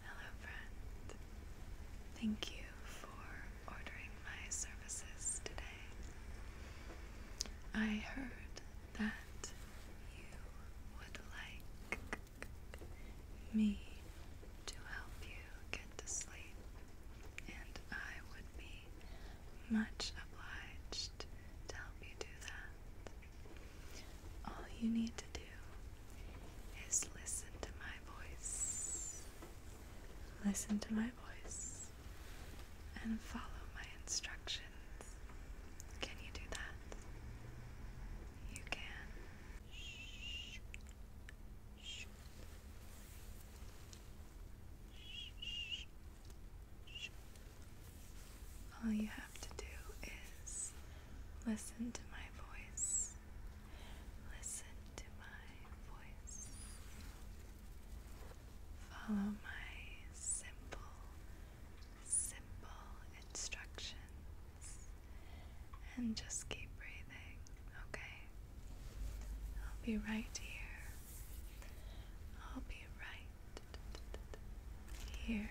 Hello, friend. Thank you for ordering my services today. I heard that you would like me to help you get to sleep, and I would be much obliged to help you do that. All you need to do is listen to my voice. Listen to my voice and follow my instructions. Can you do that? You can. All you have to do is Listen to my voice. Listen to my voice. Follow my simple, simple instructions and just keep breathing, okay? I'll be right here. I'll be right here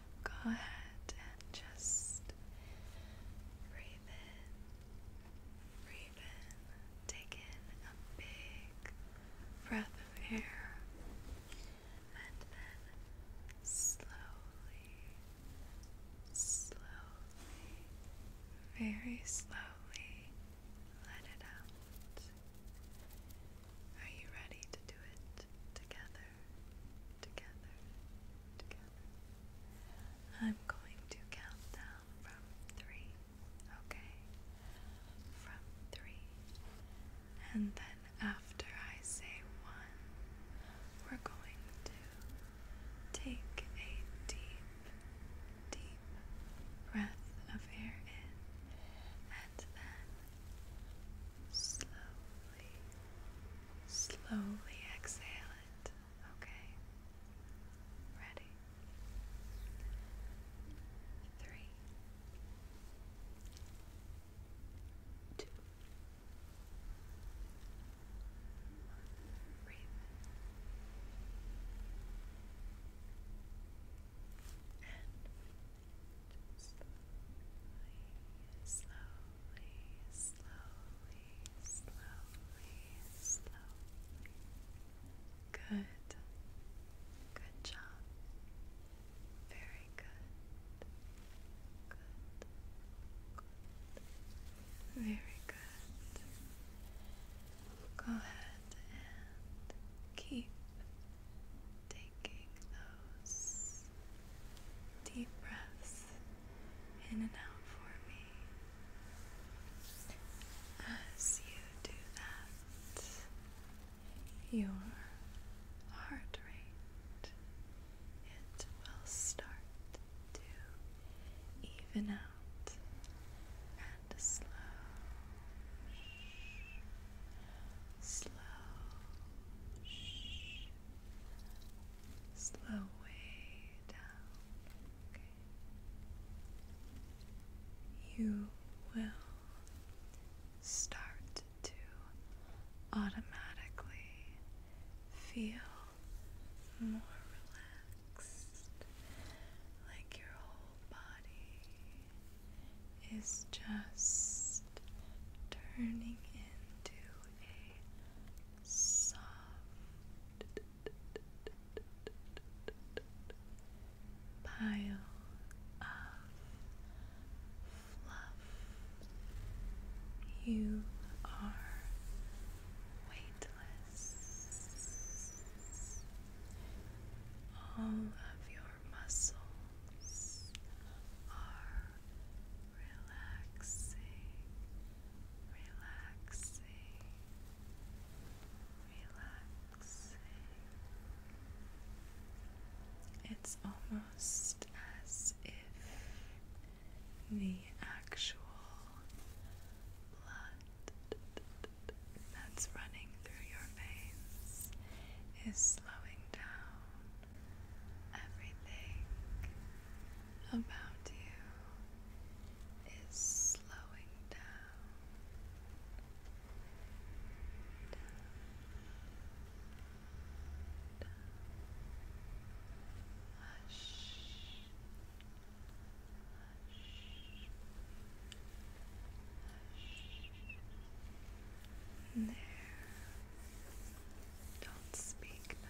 go ahead and just breathe in, breathe in, take in a big breath of air, and then slowly, slowly, very slowly let it out. Are you ready to do it together? together, together. I'm going to count down from three, okay? From three. And then after I say one, we're going to take a deep, deep breath of air in and then slowly. Slowly exhale it. Okay. Ready. Three. Two. One. Breathe. And slowly, slowly slowly, slowly, slowly. Good. Good job. Very good. Good. Good. Very good. Go ahead and keep taking those deep breaths in and out for me. As you do that, your heart rate it will start to even out and slow, slow, slow way down. You will start to automatically feel more relaxed, like your whole body is just turning into a soft pile of fluff. You are weightless. All of your muscles are relaxing, relaxing, relaxing. It's almost as if the actual blood that's running through your veins is slowing down Everything about you is slowing down. hush. There don't speak now.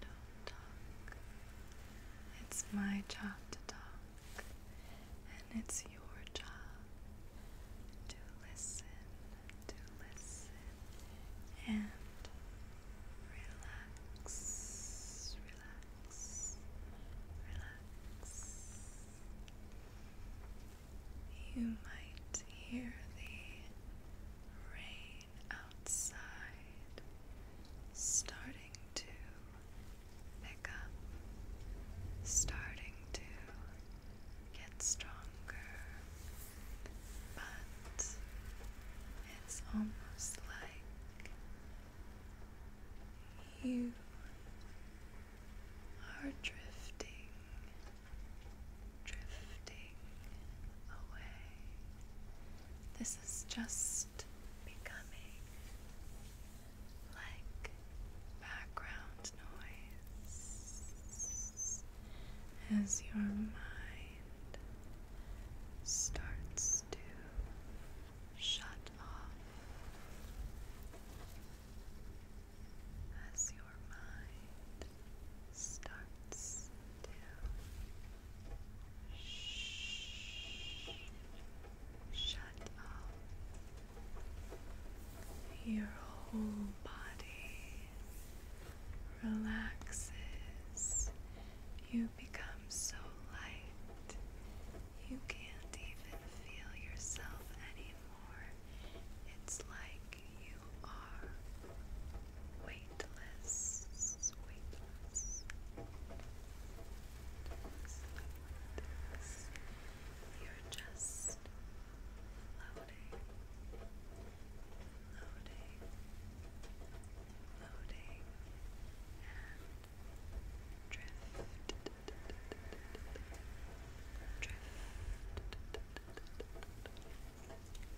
Don't talk. It's my job to talk, and it's your job to listen, to listen, and relax, relax, relax. You might hear the rain outside starting to pick up, starting to get stronger, but it's almost like you are drifting drifting away. This is just becoming like background noise as your mind starts to shut off as your mind starts to sh shut off, your whole body relaxes. You become so light, you can't even feel yourself anymore. It's like you are weightless, weightless. You're just floating, floating, floating, and drift, drift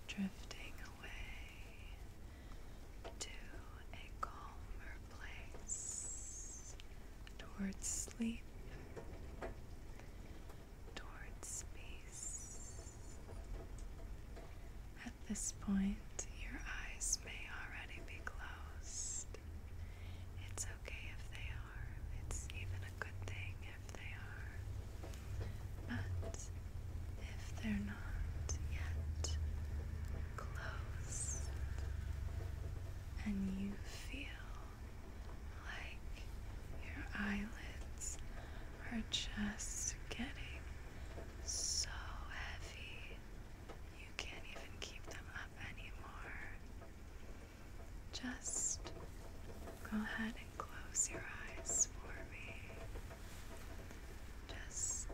drifting away to a calmer place towards sleep, towards peace. At this point, your eyes may already be closed. It's okay if they it's even a good thing if they are. But if they're not yet close and you feel like your eyelids are just getting so heavy you can't even keep them up anymore. Just go ahead and close your eyes for me. Just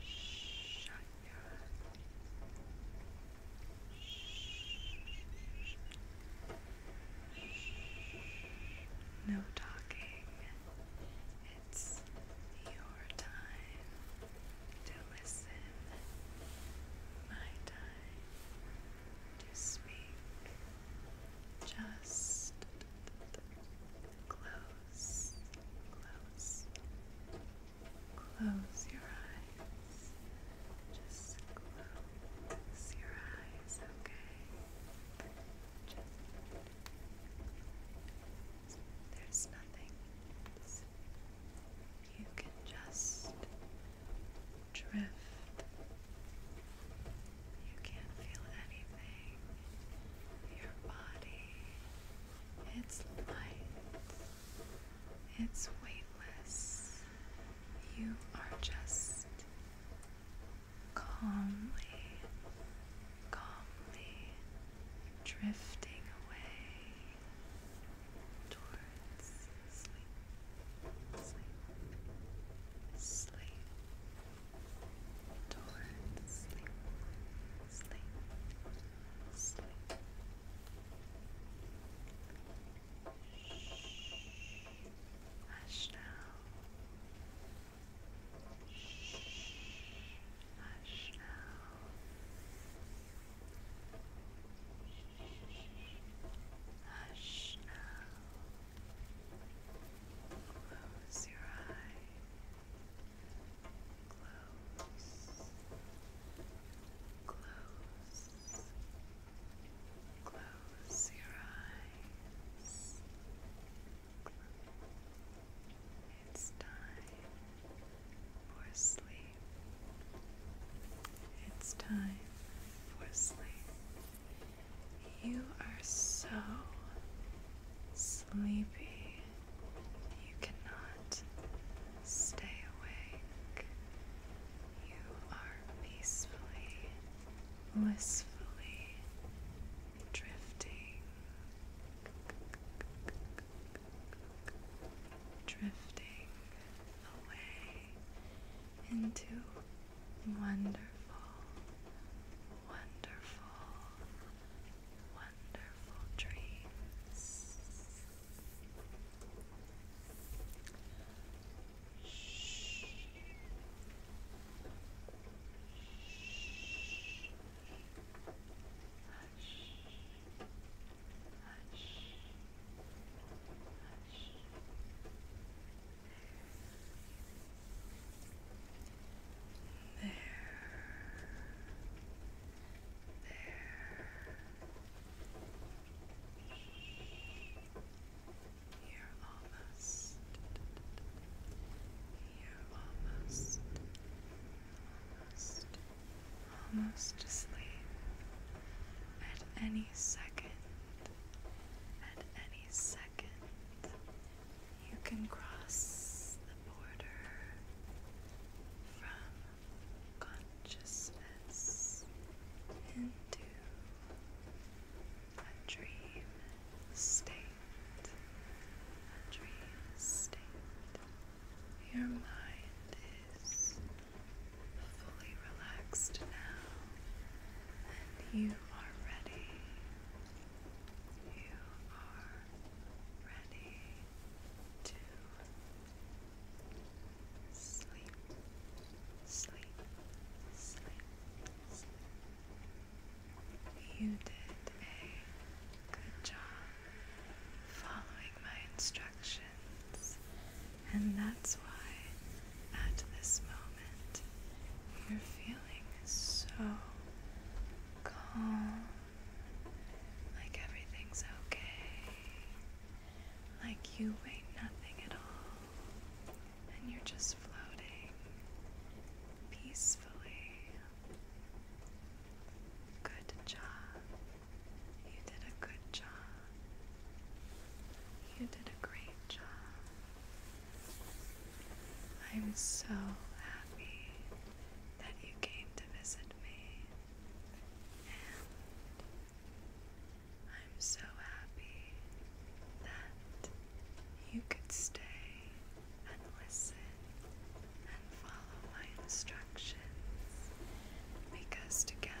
shut your No talking. It's your time to listen, my time to speak. Just close, close, close your eyes. Just close your eyes, okay? Just there's nothing. You can just drift. You can't feel anything. Your body, it's light, it's weightless. You are just calmly, calmly drifting away towards sleep sleep, sleep, towards sleep, sleep, sleep. Shh, hush now. Shh, hush now. Hush now. Close your eyes. Close. Close. Close your eyes. It's time for sleep. It's time for sleep. You are so sleepy, you cannot stay awake. You are peacefully, blissfully drifting, drifting away into wonderful, wonderful, wonderful dreams. Shh. Shh. Hush. Hush. Hush. There. There. You're almost. You're almost. Almost. Almost asleep. At any second. At any second you can cross the border from consciousness into a dream state. A dream state. Your mind is fully relaxed now you are ready. You are ready to sleep, sleep. sleep. You did a good job following my instructions and that's why at this moment you're feeling so calm, like everything's okay, like you weigh nothing at all, and you're just floating peacefully. Good job. You did a good job. You did a great job. I'm so happy that you came to visit me, and I'm so happy that you could stay and listen and follow my instructions because together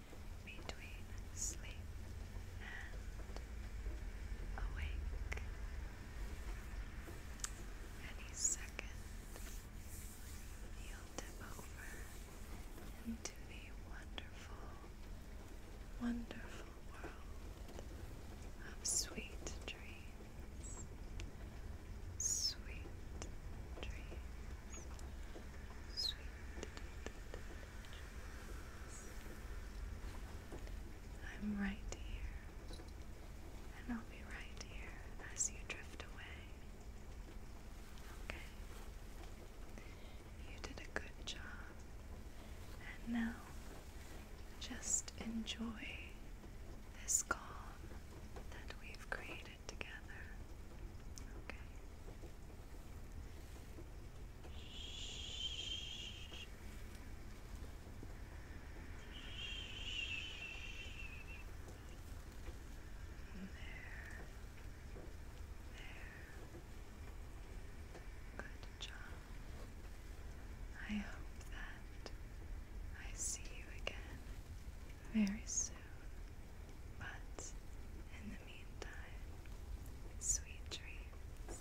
between sleep and awake. Any second, you'll tip over into the wonderful, wonderful world of sweet dreams. Sweet dreams. Sweet, sweet, I'm right here, and I'll be right here as you drift away. Okay? You did a good job, and now just enjoy this calm that we've created together. Okay? Good job. I hope that I see you again very soon. But in the meantime, sweet dreams.